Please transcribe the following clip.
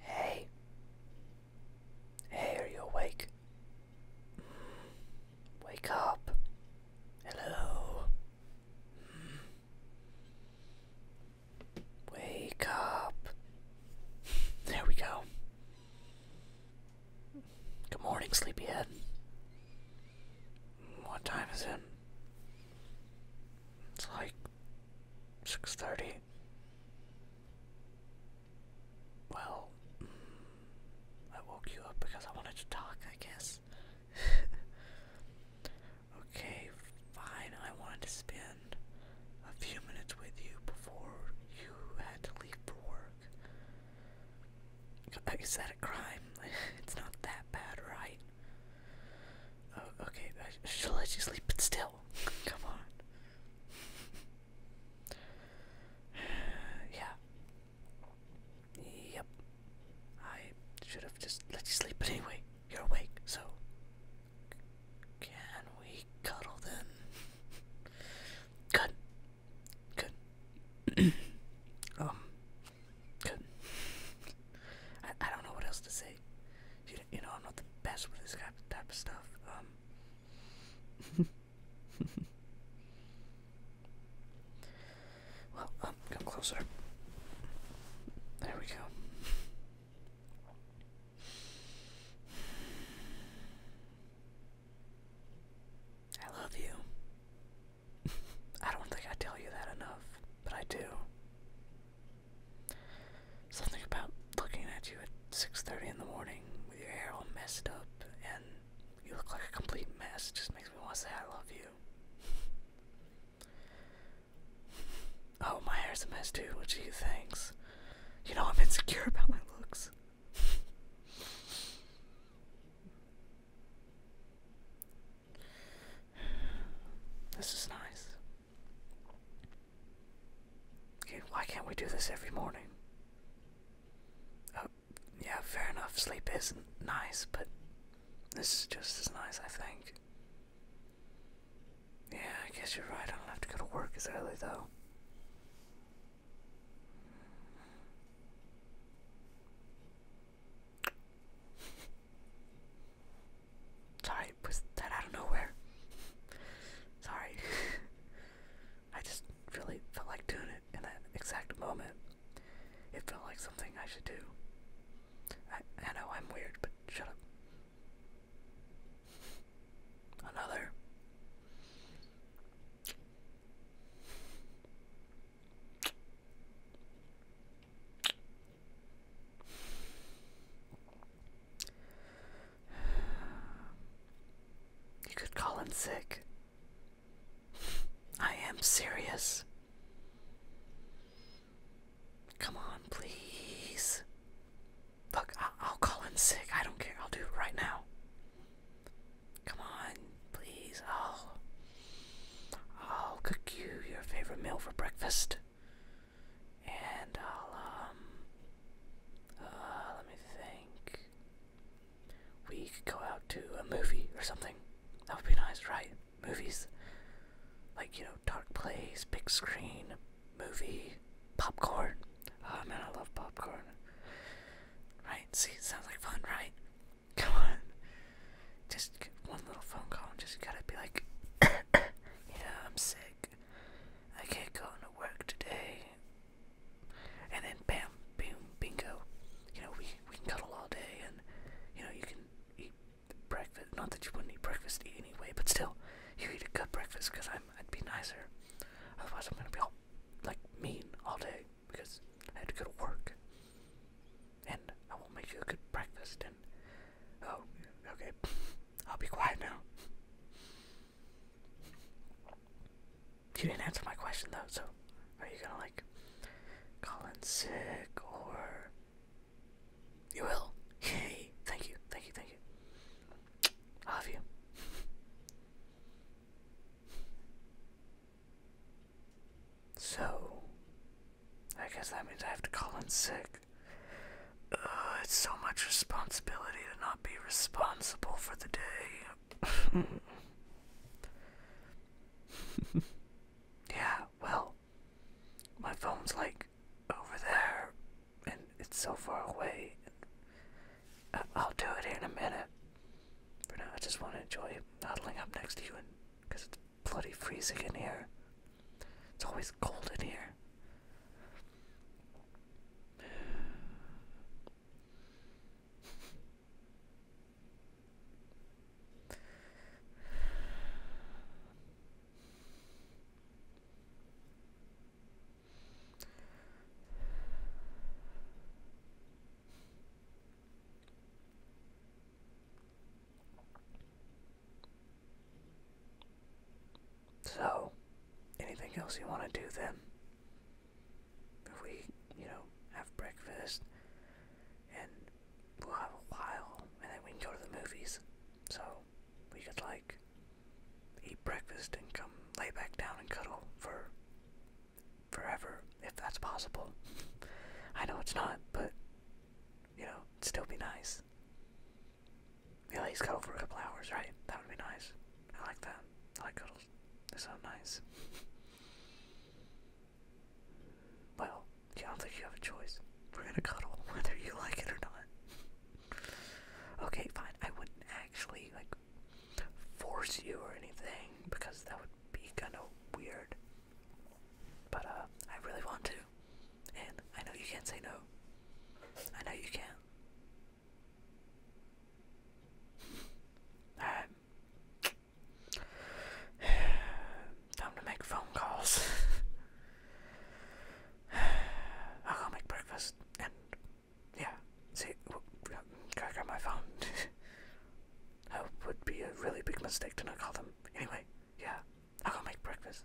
Hey. Hey, are you awake? Wake up. Hello. Wake up. There we go. Good morning, sleepyhead. What time is it? It's like Six thirty. Well, I woke you up because I wanted to talk, I guess. okay, fine. I wanted to spend a few minutes with you before you had to leave for work. Is that a crime? it's not that bad, right? Oh, okay, I should let you sleep, but still, come on. yeah. Yep. I should have just let you sleep, but anyway, you're awake, so. Can we cuddle then? Good. Good. um. Good. I, I don't know what else to say you, know, I'm not the best with this type of stuff. Um. well, um, come closer. There we go. I love you. I don't think I tell you that enough, but I do. Something about looking at you at 6:30 in the morning with your hair all messed up and you look like a complete mess just makes me want to say I love you. oh, my hair's a mess too. Which do you thanks? You know I'm insecure about my looks. this is nice. Okay, why can't we do this every morning? Oh, yeah, fair enough. Sleep is nice, but this is just as nice, I think. Yeah, I guess you're right. I don't have to go to work as early, though. Sorry, was that out of nowhere? Sorry. I just really felt like doing it in that exact moment. It felt like something I should do. I, know I'm weird, but shut up. Another. You could call in sick. I am serious. Come on, please. Look, I will call in sick. I don't care. I'll do it right now. Come on, please. i oh. I'll oh, cook you your favorite meal for breakfast and I'll um uh let me think we could go out to a movie or something. That would be nice, right? Movies like you know, dark place, big screen, movie, popcorn. Oh man, I love popcorn. Right? See, sounds like fun, right? Come on. Just one little phone call and just gotta be like, yeah, I'm sick. I can't go to work today. And then bam, boom, bingo. You know, we, we can cuddle all day and, you know, you can eat breakfast. Not that you wouldn't eat breakfast anyway, but still, you eat a good breakfast because I'd be nicer. Otherwise, I'm going to be all, like, mean all day because I had to go to work. And I won't make you a good breakfast and, oh, okay. I'll be quiet now. You didn't answer my question though, so are you gonna like call in sick or you will? Yay! Thank you, thank you, thank you. I love you. So, I guess that means I have to call in sick uh, it's so much responsibility to not be responsible for the day. yeah, well, my phone's like over there, and it's so far away. Uh, I'll do it in a minute. For now, I just want to enjoy cuddling up next to you, and because it's bloody freezing in here. It's always cold in here. So, anything else you want to do then? If we, you know, have breakfast and we'll have a while and then we can go to the movies. So, we could like eat breakfast and come lay back down and cuddle for forever if that's possible. I know it's not, but you know, it'd still be nice. Yeah, he's cuddled for a couple hours, right? That would be nice. I like that. I like cuddles. They sound nice. well, I don't you have a choice. We're gonna cuddle, whether you like it or not. okay, fine. I wouldn't actually, like, force you or anything, because that would be kinda weird. But, uh, I really want to. And I know you can't say no. I know you can't. Alright. Time to make phone calls. I'll go make breakfast and yeah. See, gotta grab my phone. that would be a really big mistake to not call them. Anyway, yeah. I'll go make breakfast.